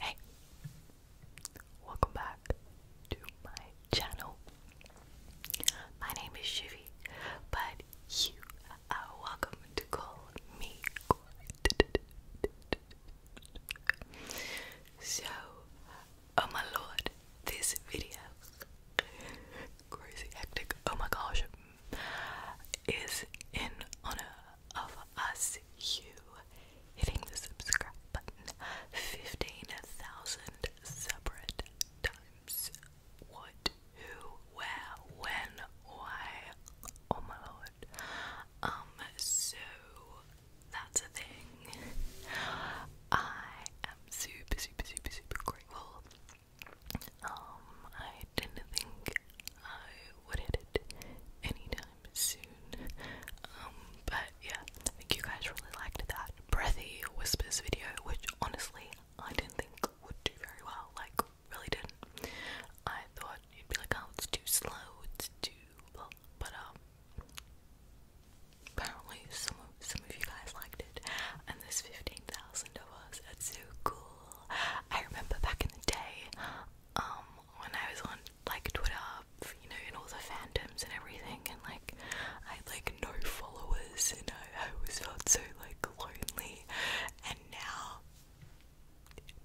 Hey, welcome back to my channel. My name is Shivi, but you are welcome to call me So, oh my lord, this video, crazy hectic, oh my gosh, is in honor of us, you, hitting the subscribe button 15,000 separate times. What, who, where, when, why? Oh my lord. Um, so that's a thing. I am super, super, super, super grateful. Um, I didn't think I would hit it anytime soon. Um, but yeah, I think you guys really liked that breathy whispers video, which honestly I didn't think would do very well. Like, really didn't. I thought you'd be like, oh, it's too slow, it's too blah. But um, apparently some some of you guys liked it, and there's 15,000 of us. That's so cool. I remember back in the day, um, when I was on like Twitter, you know, in all the fandoms and everything, and like I like no followers, and I, I felt so like lonely. And now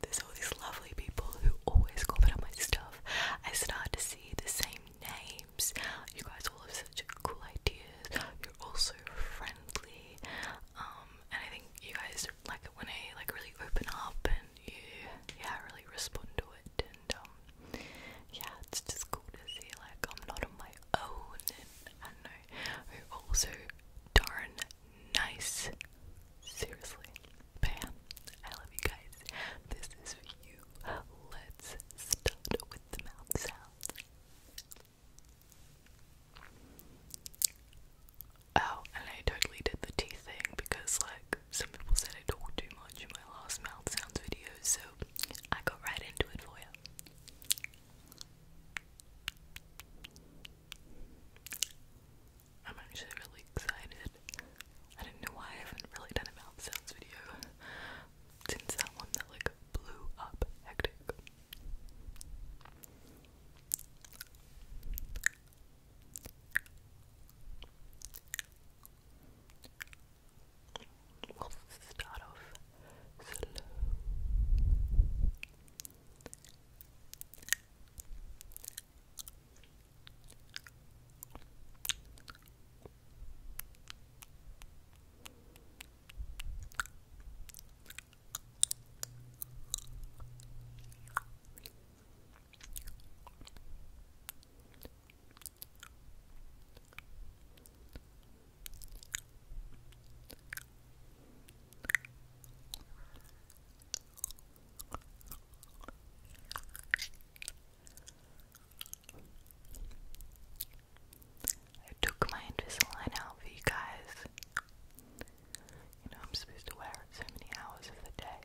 there's all these lovely people who always comment on my stuff. I start to see the same names. You guys all have such cool ideas. You're all so friendly. Um, and I think you guys like when I like really open up and yeah, yeah really respond to it and um yeah it's just cool to see like I'm not on my own and I don't know also darn nice seriously but I love you guys this is for you let's start with the mouth sounds Oh, and I totally did the teeth thing because, like, some people said I talk too much in my last mouth sounds video, so I got right into it for you. I'm actually really excited. I don't know why I haven't really done a mouth sounds video since that one that like blew up hectic. We'll start off slow. I took my Invisalign out for you guys. You know, I'm supposed to wear it so many hours of the day.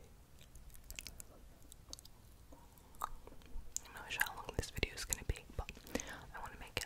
I'm not sure how long this video is going to be, but I want to make it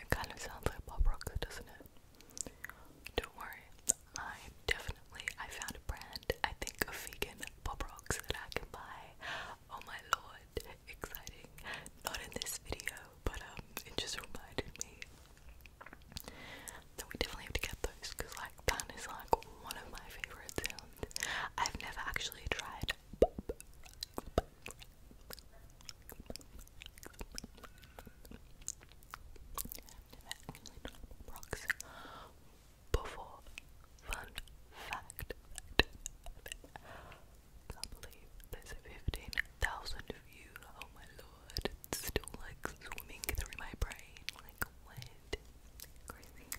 It kind of sounds like Bob rock, doesn't it? Don't worry, I definitely I found a brand I think of vegan pop rocks that I can buy. Oh my lord, exciting! Not in this video, but um, it just reminded me that we definitely have to get those because like that is like one of my favorite I've never actually tried. before. Fun fact. I believe there's 15,000 of you. Oh my lord. still like swimming through my brain. Like, what? Crazy.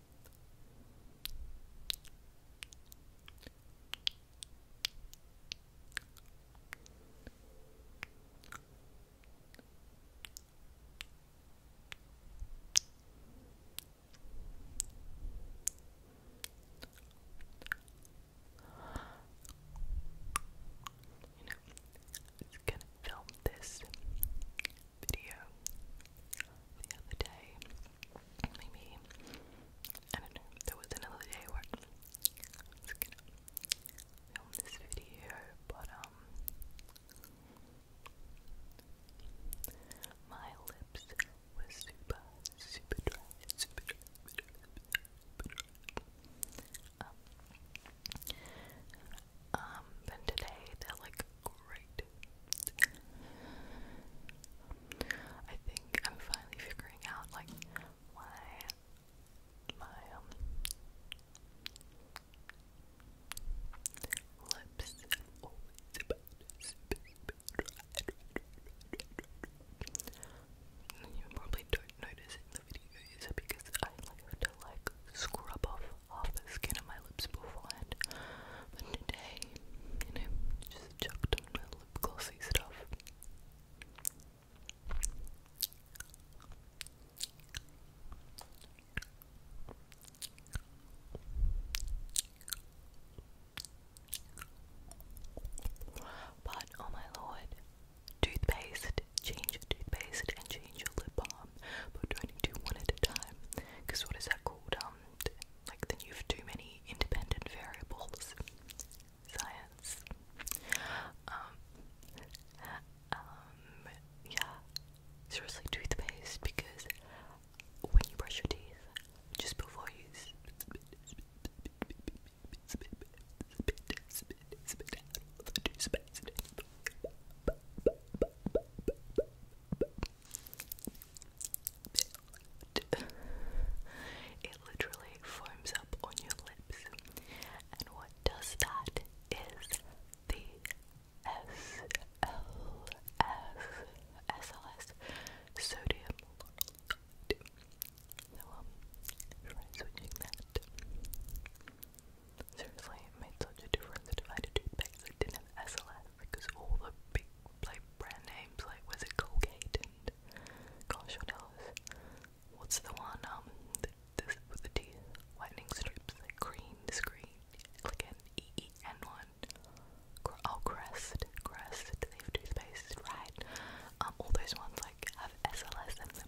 You know, I gonna film this video the other day, maybe I don't know, there was another day where I was gonna film this video, but um my lips were super, super dry, Um, um, today they're like great, I think I'm finally figuring out like why my um, lips you probably don't notice in the videos because I like have to like scrub off half the skin of my lips beforehand but today, you know, just chucked on my lip glossy stuff. But oh my lord, toothpaste, change your toothpaste and change your lip balm, but don't do one at a time. Because what is that called? Um, like then you have too many independent variables. Science. Um, um, yeah. Seriously, toothpaste because when you brush your teeth, just before you spit, spit, spit, spit, spit out all the toothpaste. It literally foams up on your lips. And what does that is the SLS, sodium. So, um, try switching that. Seriously, it made such a difference if I had to that didn't have SLS because all the big brand names like was it Colgate and gosh What's the one um the, with the teeth whitening strips like green screen like E E N one. Oh Crest, Crest, they have two right? Um, all those ones like have SLS in them.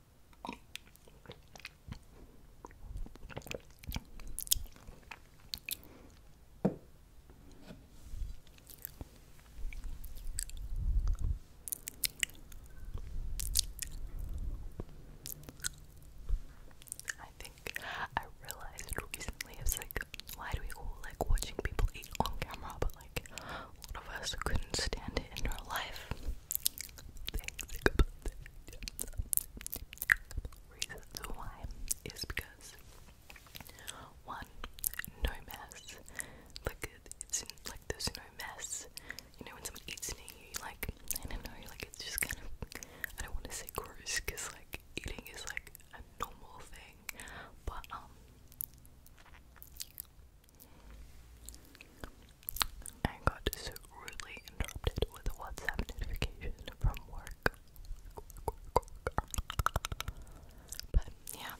I think I realized recently it's like why do we all like watching people eat on camera but like lot of us couldn't stand it in our life. Reasons why is because one, no mess. Like it's like there's no mess. You know when someone eats near you, like I don't know, like it's just kind of I don't want to say gross because like eating is like a normal thing, but um, I got rudely interrupted with a WhatsApp notification from work. But yeah,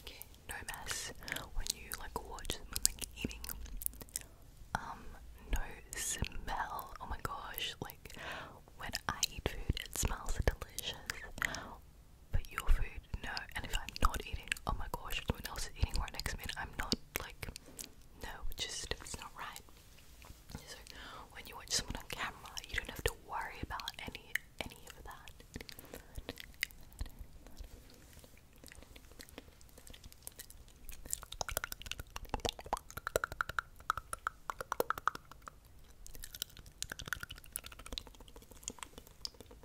okay, no mess. When you like watch someone like eating, um, no smell. Oh my gosh, like when I eat food, it smells delicious but your food, no. And if I'm not eating, oh my gosh, someone else is eating right next to me, I'm not like, no, just it's not right. So when you watch someone on camera, you don't have to worry about any any of that.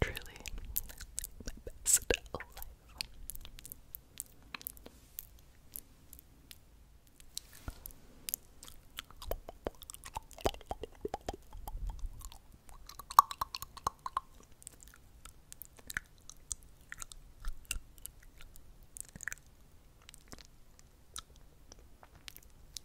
Truly my best life.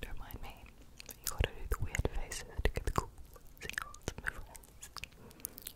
Don't mind me. You gotta do the weird faces to get the cool sounds, my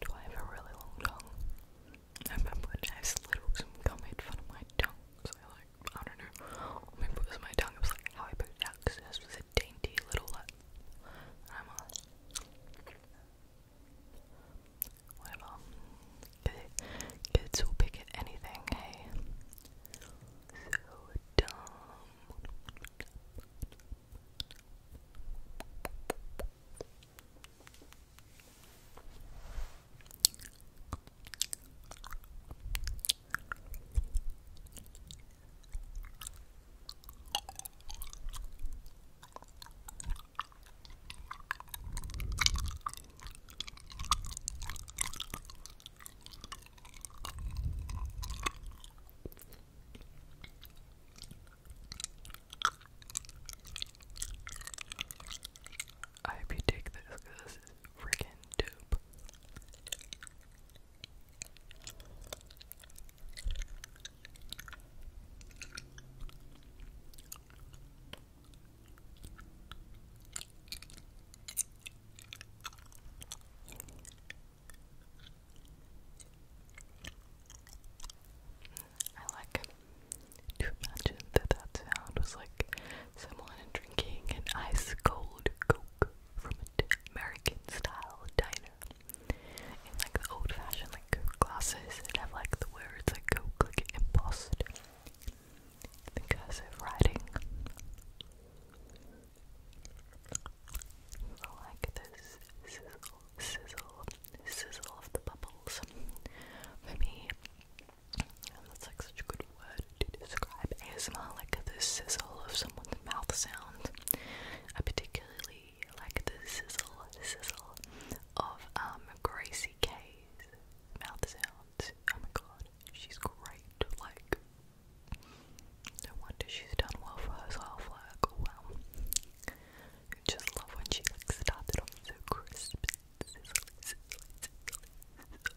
Do I have a really long tongue? I remember I used to let some gum in front of my tongue, so I like I don't know. Maybe it was my tongue. It was like how I picked it out because this was a dainty little lip. And I'm all whatever. Kids will pick at anything. Hey, so dumb. I hope you take this because is freaking dope. I like to imagine that that sound was like someone drinking an ice cold Coke from an American style diner in like the old fashioned like Coke glasses that have like the words like Coke like embossed the cursive writing. I like this sizzle, sizzle, sizzle of the bubbles. For me, that's like such a good word to describe ASMR, like the sizzle of someone's mouth sound. I particularly like the sizzle, sizzle of um Gracie K's mouth sounds. Oh my god, she's great. Like, no wonder she's done well for herself. Like, wow. I just love when she like started off so crisp. Sizzle, sizzle, sizzle, sizzle.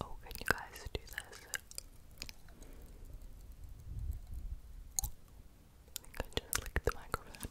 Oh, can you guys do this? I think I just licked the microphone.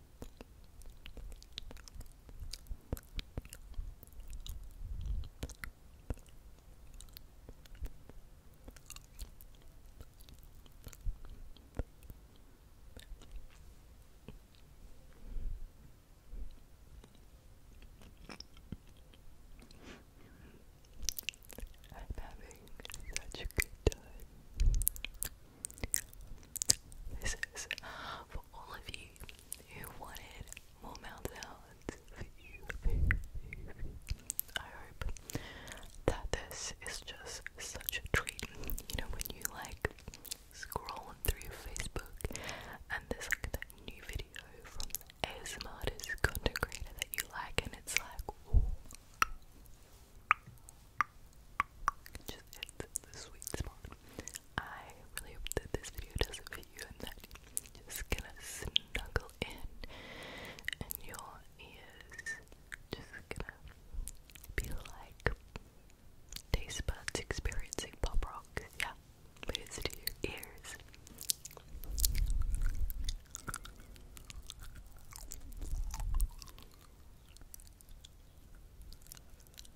I'm having such a good time. This is for all of you who wanted more mouth sounds for you. I hope that this is just such a treat. You know, when you like scroll through Facebook and there's like that new video from the ASMR artist, content creator that you like, and it's like, oh, just hits the sweet spot. I really hope that this video does fit you and that you are just gonna snuggle in and your ears just gonna be like taste buds experiencing pop rock. Yeah, but to your ears.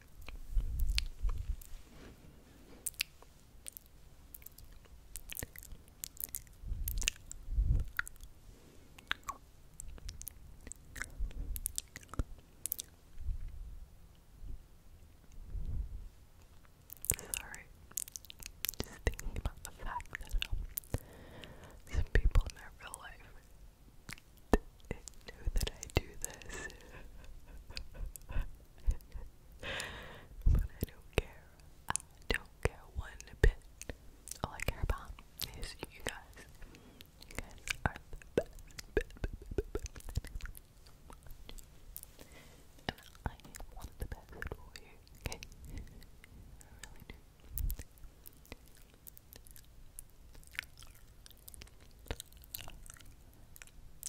Sorry, just thinking about the fact that um, some people in their real life knew that I do this. but I don't care. I don't care one bit. All I care about is you guys. You guys are the best. And I want the best for you, okay?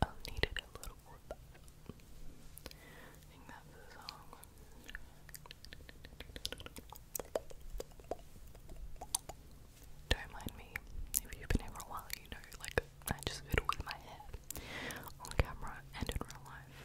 I Don't mind me. If you've been here for a while, you know, like, I just fiddle with my hair on camera and in real life.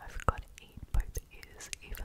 I've got to eat both ears evenly.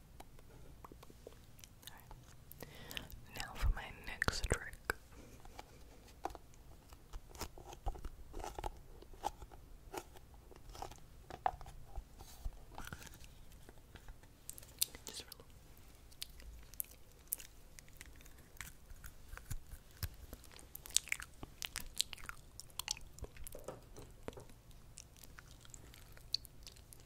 Alright. Now for my next trick.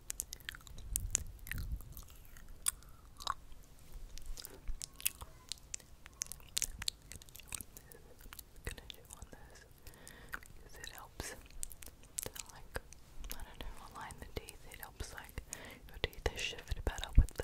gonna do on this because it helps like I don't know align the teeth. It helps like your teeth are shifted better with that.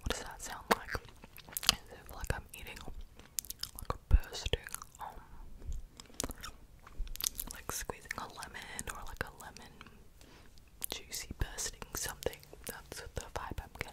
What does that sound like? Is it like I'm eating like a bursting um like squeezing a lemon or like a lemon juicy bursting something? That's what the vibe I'm getting.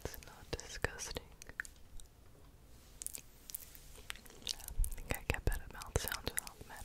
That's not disgusting. I think I get better mouth sounds without the men.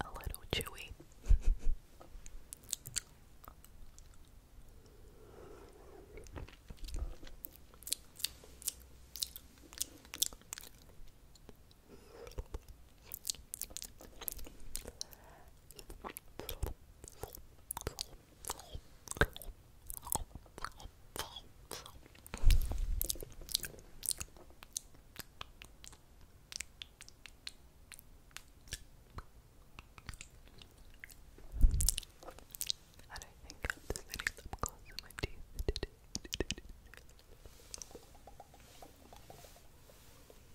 A little chewy. I don't think I'm just getting some close in my teeth.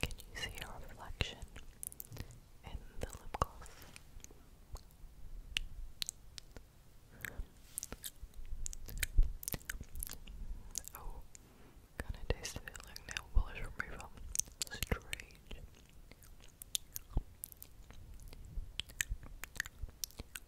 Can you see your reflection in the lip gloss? Oh, kinda tastes like nail polish remover. Strange.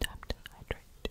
Time to hydrate.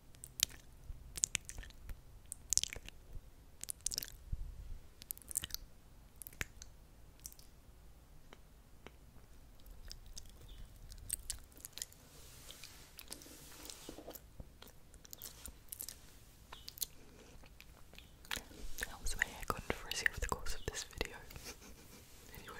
That was very controversy over the course of this video. anyway.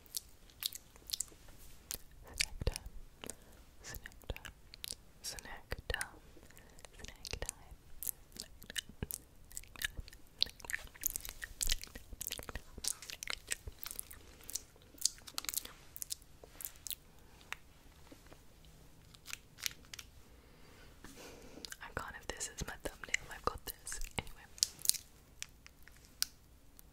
Snack time. Snack time. Snack time. Snack time. I can't if this is my thumbnail. I've got this. Anyway.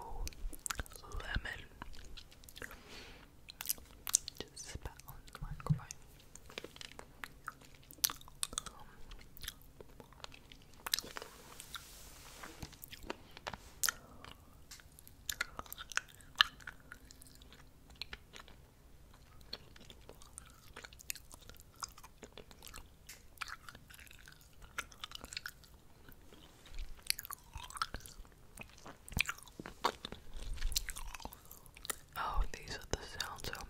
Oh, lemon. Just spat on the microphone. Oh, these are the sounds I'm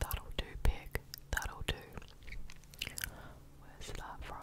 That'll do, pig. That'll do. Where's that from?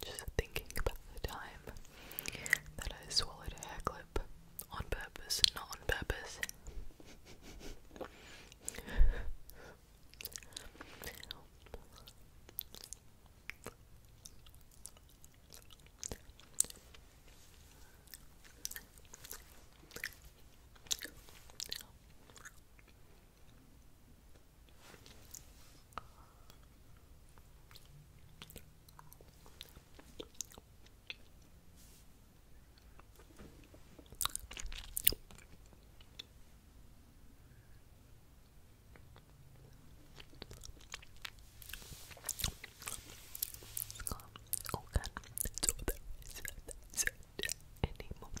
Just thinking about the time that I swallowed a hair clip on purpose, not on purpose. Oh god, so there is not anymore.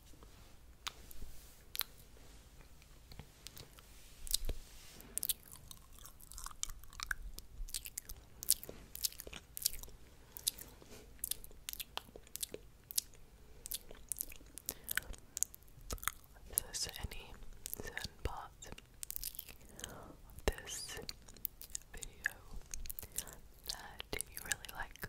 If there's any certain of this video that you really like,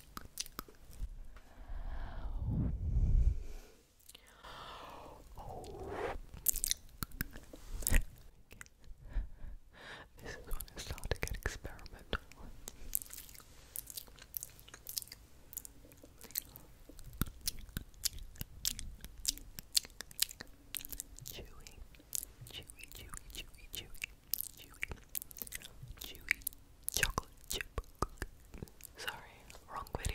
this is when it started to get experimental. chewy, chewy, chewy, chewy, chewy, chewy, chocolate chip Sorry, wrong video.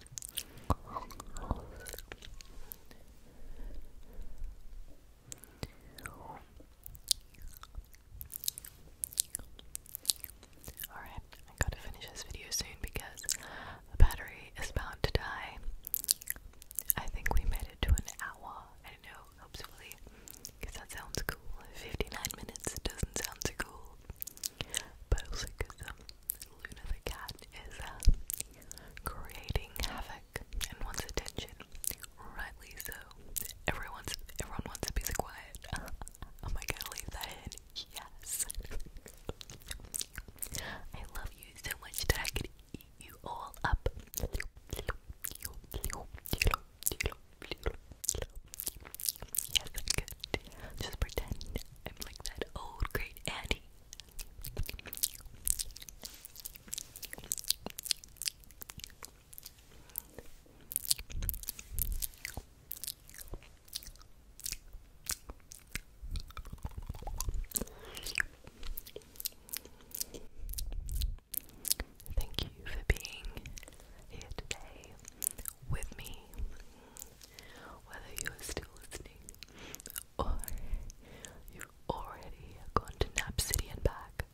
Alright, I gotta finish this video soon because the battery is about to die. I think we made it to an hour. I know, hopefully, because that sounds cool. 59 minutes doesn't sound cool, but also because um, Luna the cat is uh, creating havoc and wants attention. Rightly so. Everyone's everyone wants a piece of quiet. Uh, am I gonna leave that in? Yes. I love you so much that I could eat you all up. Yes, good. Just pretend I'm like that old great auntie Thank you for being here today with me whether you are still listening or you already gone to Nap City and back.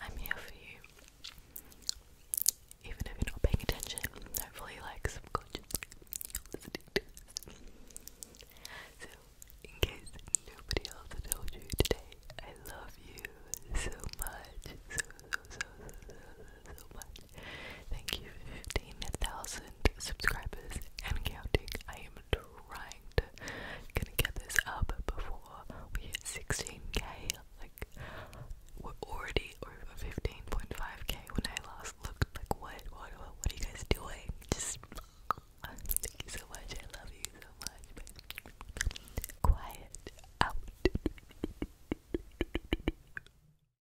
I'm here for you. Even if you're not paying attention, hopefully like subconsciously listening to this. So in case nobody else told you today, I love you so much. so so so so, so much. Thank you, 15,000 subscribers and counting. I am trying to gonna get this up before we hit 16k. Like, we're already over 15.5k when I last looked. Like, what, what, what, are you guys doing? Just thank you so much. I love you so much. quiet out.